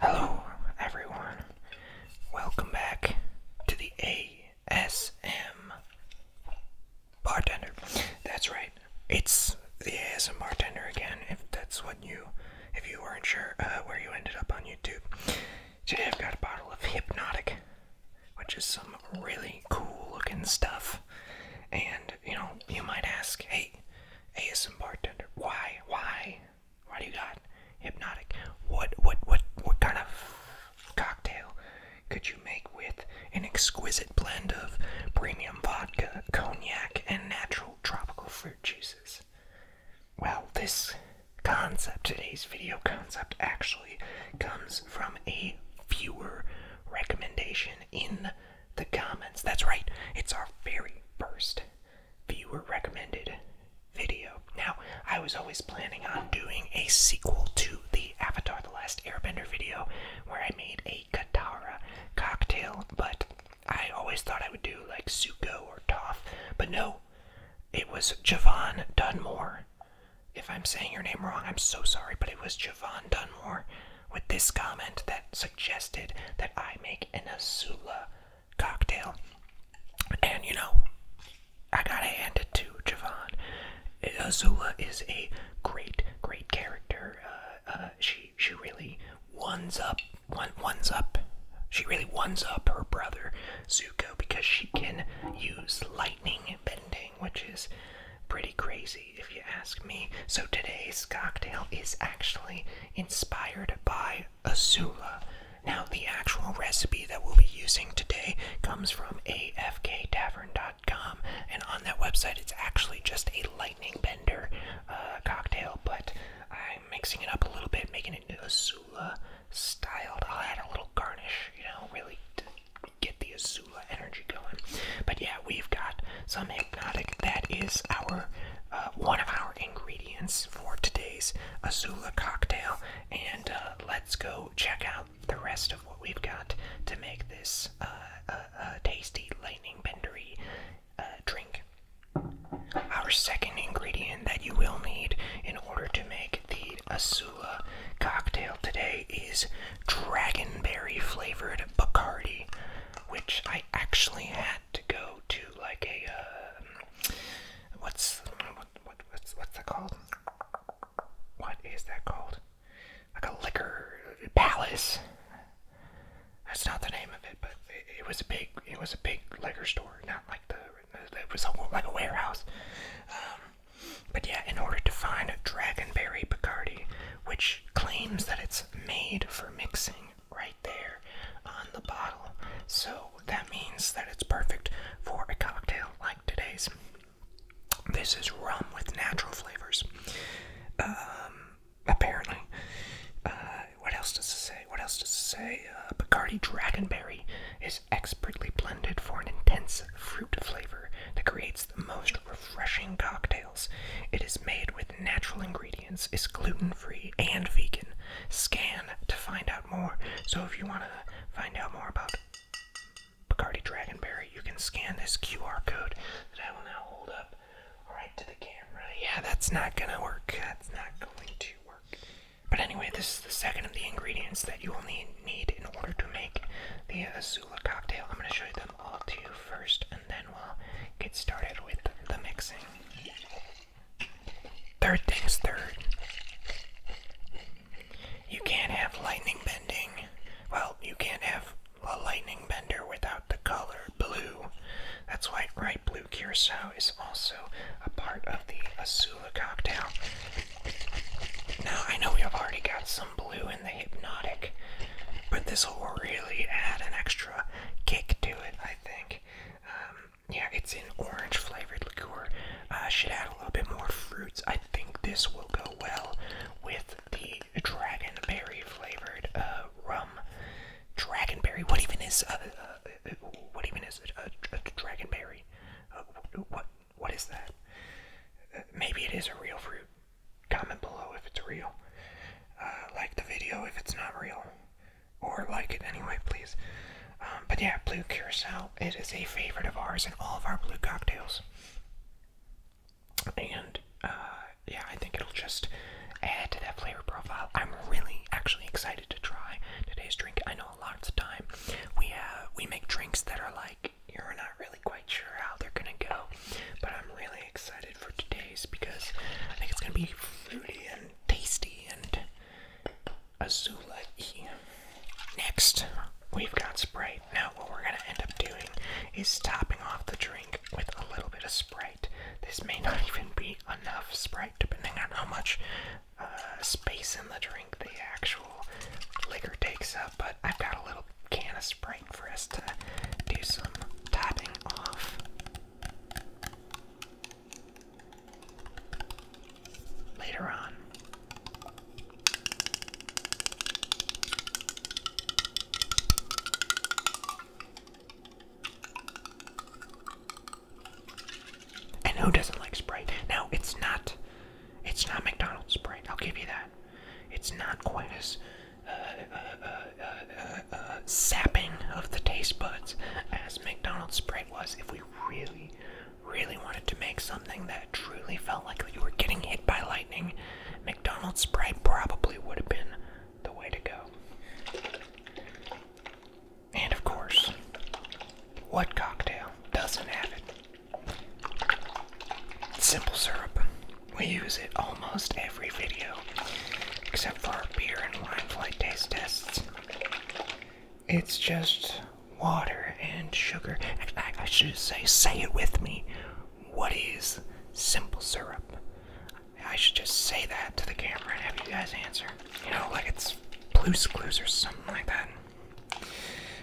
Hello, everyone. Welcome back to the ASM bartender. That's right. It's the ASM bartender again. If that's what you, if you are not sure uh, where you ended up on YouTube, today I've got a bottle of Hypnotic, which is some really cool-looking stuff. And you know, you might ask, hey, ASM bartender. Why? Why? Why do you got hypnotic? What? What? What? What kind of cocktail could you make with an exquisite blend of premium vodka, cognac, and natural tropical fruit juices? Well, this concept, today's video concept, actually comes from a viewer recommendation in the comments. That's right, it's our very first viewer recommended video. Now, I was always planning on doing a sequel to the Avatar The Last Airbender video where I made a Katara cocktail, but I always thought I would do like Zuko or Toph, but no, it was Javon Dunmore. If I'm saying your name wrong, I'm so sorry, but it was Javon Dunmore with this comment that suggested that I make an Azula cocktail. And you know, I gotta hand it to Javon. Azula is a great, great character. Uh, uh, she she really ones up, one ones up. She really ones up her brother Zuko because she can use lightning bending, which is pretty crazy if you ask me. So today's cocktail is actually inspired by Azula. Now, the actual recipe that we'll be using today comes from afktavern.com, and on that website, it's actually just a lightning bender uh, cocktail, but I'm mixing it up a little bit, making it Azula styled. I'll add a little garnish, you know, really get the Azula energy going. But yeah, we've got some hypnotic. That is our uh, one of our ingredients for today's Azula cocktail, and uh, let's go check out the rest of what we've got to make this uh, tasty lightning bendery drink. Our second ingredient that you will need in order to make the Azula cocktail today is dragonberry flavored Bacardi which I actually had to go to like a uh, what's what's what's that called? What is that called? Like a liquor palace. That's not the name of it, but it, was a big it was a big liquor store, not like the it was a, like a warehouse. Um, but yeah, in order to find a Dragonberry Bacardi, which claims that it's made for mixing right there on the bottle. So that means that it's perfect for a cocktail like today's. This is rum with natural flavors. Um, apparently. Uh, what else does it say? What else does it say? Uh, Bacardi Dragonberry is expertly blended for an intense fruit flavor that creates the most refreshing cocktail. It is made with natural ingredients, is gluten free and vegan. Scan to find out more. So, if you want to find out more about Bacardi Dragonberry, you can scan this QR code that I will now hold up right to the camera. Yeah, that's not gonna work. That's not going to work. But anyway, this is the second of the ingredients that you will need, need in order to make the Azula cocktail. I'm gonna show you them them all to you first, and then we'll get started with the mixing. Third things third. You can't have lightning bending. Well, you can't have a lightning bender without the color blue. That's why bright blue curacao is also a part of the Azula cocktail. Now, I know we have already got some blue the hypnotic, but this will really add an extra kick to it, I think. Um, yeah, it's an orange flavored liqueur. Uh, should add a little bit more fruits. I think this will go well with the dragonberry flavored uh, rum. Dragonberry. What even is uh, uh, what even is a, a, dragonberry? what what is that? maybe it is a real fruit. Comment below if it's real. Uh, like the video if it's not real. Or like it anyway, please. Um, but yeah, Blue Curacao, it is a favorite of ours in all of our blue cocktails. And uh, yeah, I think it'll just add to that flavor profile. I'm really actually excited to try today's drink. I know a lot of the time we we make drinks that are like you really quite sure how they're gonna go, but I'm really excited for today's because I think it's gonna be fruity and tasty and azula -y. Next, we've got Sprite. Now, what we're gonna end up doing is topping off the drink with a little bit of Sprite. This may not even be enough Sprite, depending on how much uh, space in the drink the actual liquor takes up, but I've got a little can of Sprite for us to do some topping off. Later on. And who doesn't like Sprite? Now, it's not it's not McDonald's Sprite. I'll give you that. It's not quite as uh, uh, uh, sapping of the taste buds as McDonald's Sprite was. If we really, really wanted to make something that truly felt like you were getting hit by lightning, McDonald's Sprite probably would have been the way to go. And of course, what cocktail doesn't have it? Simple syrup. We use it almost every video, except for our beer and wine flight taste tests. It's just water and sugar. I, I should say, say it with me. What is simple syrup? I should just say that to the camera and have you guys answer. You know, like it's blue Clues or something like that.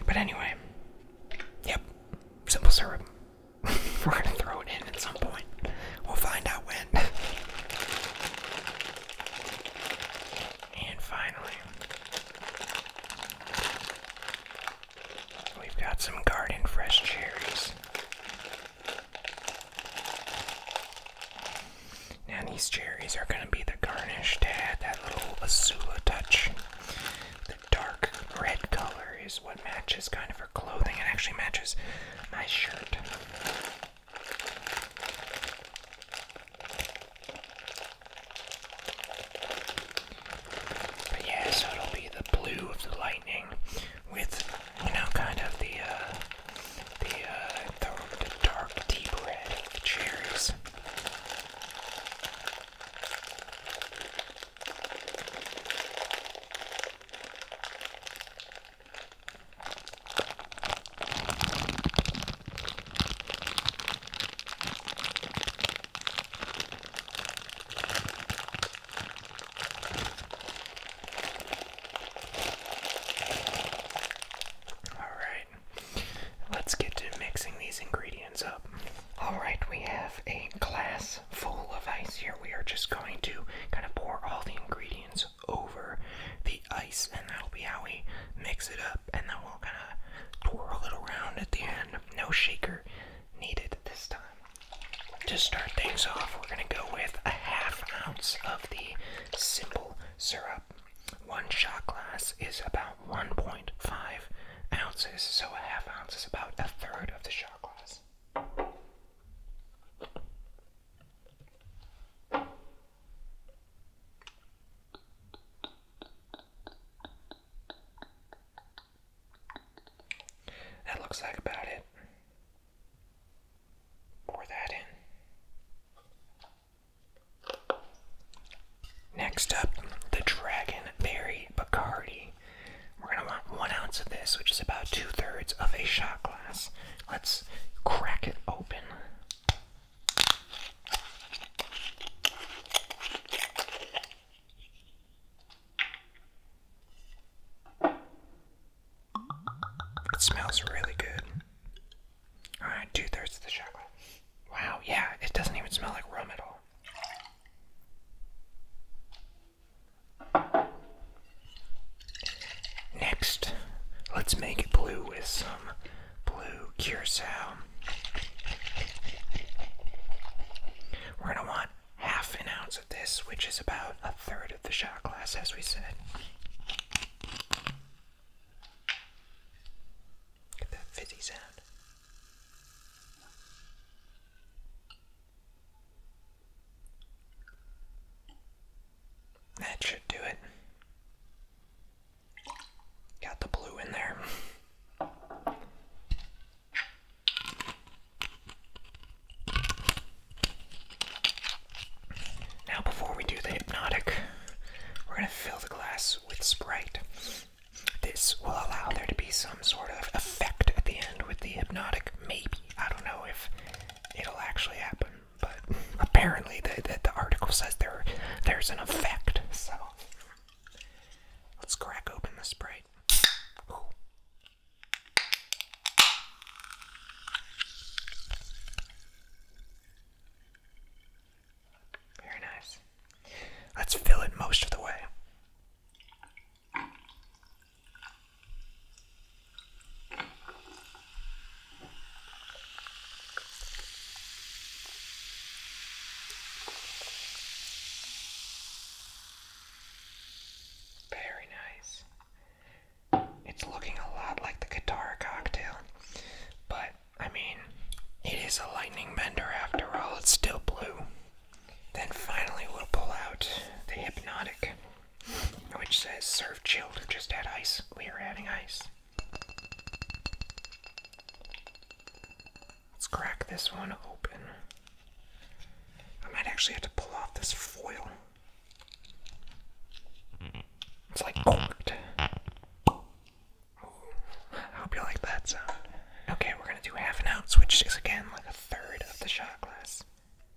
But anyway, yep, simple syrup. We're gonna throw it in at some point. We'll find out when. And finally, we've got some garden fresh cherries. Now, these cherries are going to be the garnish to add that little azula touch dark red color is what matches kind of her clothing. It actually matches my shirt. But yeah, so it'll be the blue of the lightning with, you know, kind of the, uh, uh, the, dark deep red cherries. Alright, let's get to mixing these ingredients up. Alright, we have a glass full of ice here, we are just going to kind of pour all the ingredients over the ice, and that'll be how we mix it up. And then we'll kind of twirl it around at the end. No shaker needed this time. To start things off, we're going to go with a half ounce of the simple syrup. One shot glass is about one point. 0.5 ounces, so a half ounce is about a third of the shot glass. That looks like about it. Pour that in. Next up, the Dragonberry Bacardi. We're going to want one ounce of this, which is about two thirds of a shot glass. Let's crack it open. It smells really good. Alright, two thirds of the shot glass. Wow, yeah, it doesn't even smell like rum at all. Next, let's make it blue with some blue curacao. We're going to want half an ounce of this, which is about a third of the shot glass, as we said. Get that fizzy sound. That should do it. Got the blue in there. Now, before we do the hypnotic, we're going to fill the glass with Sprite. This will allow there to be some sort of effect at the end with the hypnotic, maybe. I don't know if it'll actually happen, but apparently the, the, article says there there's an effect, so. Let's crack open the Sprite. Very nice. Let's fill it most of the way. Very nice. It's looking a lot like the Katara cocktail, but I mean, it is a lightning bender after all, it's still blue. Then finally, we'll pull out the hypnotic, which says serve chilled just add ice. We are adding ice. Let's crack this one open. I might actually have to pull off this foil. It's like mm-hmm. corked. I hope you like that sound. Okay, we're gonna do half an ounce, which is again like a third of the shot glass.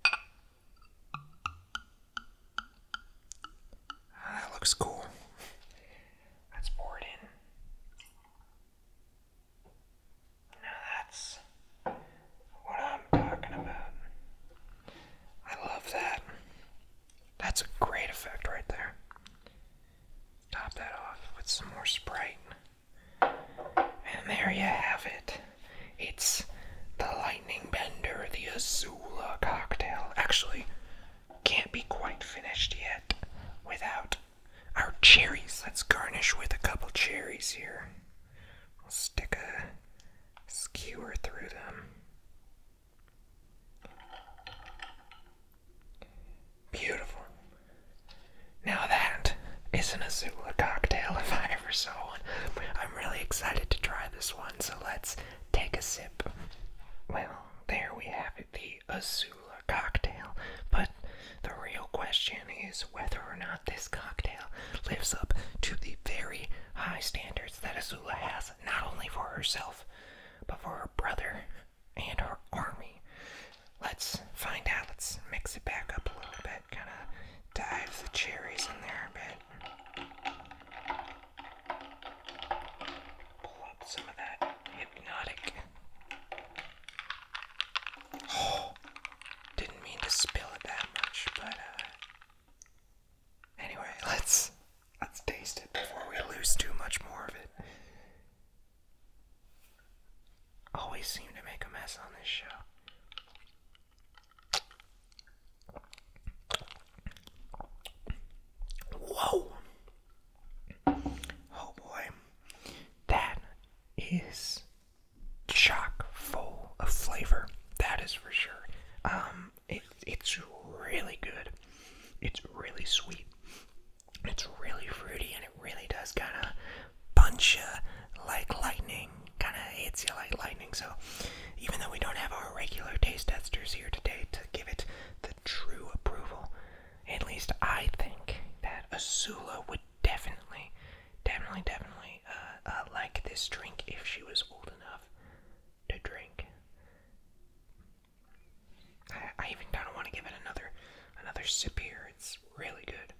Ah, that looks cool. Let's pour it in. Now that's what I'm talking about. I love that. That's a great effect right there top that off with some more Sprite. And there you have it. It's the Lightning Bender, the Azula cocktail. Actually, can't be quite finished yet without our cherries. Let's garnish with a couple cherries here. We'll stick a skewer through them. Beautiful. Now that is isn't a Zula cocktail if I ever saw one. I'm really excited to try this one, so let's take a sip. Well, there we have it, the Zula cocktail. But the real question is whether or not this cocktail lives up to the very high standards that Zula has, not only for herself, but for her brother and our army. Let's find out. Let's mix it back up a little bit. Kind of dive the cherries in there a bit. Pull up some of that hypnotic. Oh, didn't mean to spill it that much, but uh, anyway, let's let's taste it before we lose too much more of it. Always seem to make a mess on this show. Whoa! Oh boy. That is chock full of flavor. That is for sure. Um, it, it's really good. It's really sweet. It's really fruity and it really does kind of punch you like lightning, kind of hits you like lightning. So, even though we don't have our regular taste testers here today to give it the true approval, at least I think that Azula would definitely, definitely, definitely uh, uh, like this drink if she was old enough to drink. I, even kind of want to give it another another sip here. It's really good.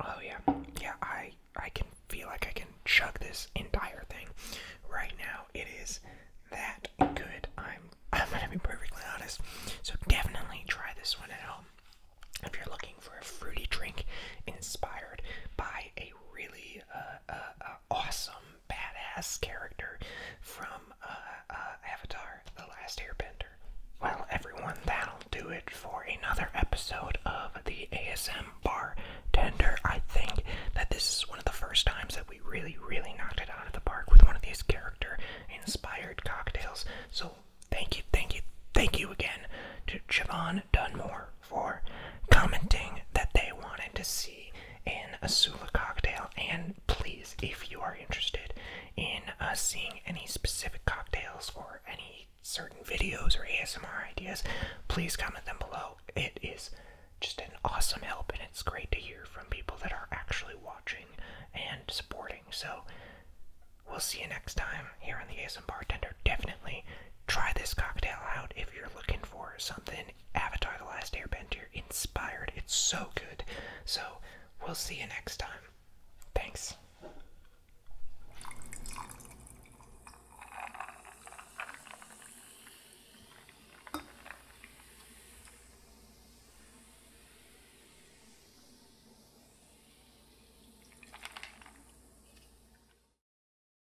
Oh yeah, yeah. I I can feel like I can chug this entire thing right now. It is that good. I'm I'm gonna be perfectly honest. So definitely try this one at home if you're looking for a fruity drink inspired by a really uh, uh, uh, awesome badass character from uh, uh, Avatar The Last Airbender. Well, everyone, that'll do it for another episode of the ASM Bartender. I think that this is one of the first times that we really, really knocked it out of the park with one of these character inspired cocktails. So, thank you, thank you, thank you again to Javon Dunmore for commenting that they wanted to see an Asula cocktail. And please, if you are interested in us uh, seeing any specific cocktails or any certain videos or ASMR ideas, please comment them below. It is just an awesome help, and it's great to hear from people that are actually watching and supporting. So, we'll see you next time here on the ASMR Bartender. Definitely try this cocktail out if you're looking for something Avatar The Last Airbender inspired. It's so good. So we'll see you next time. Thanks.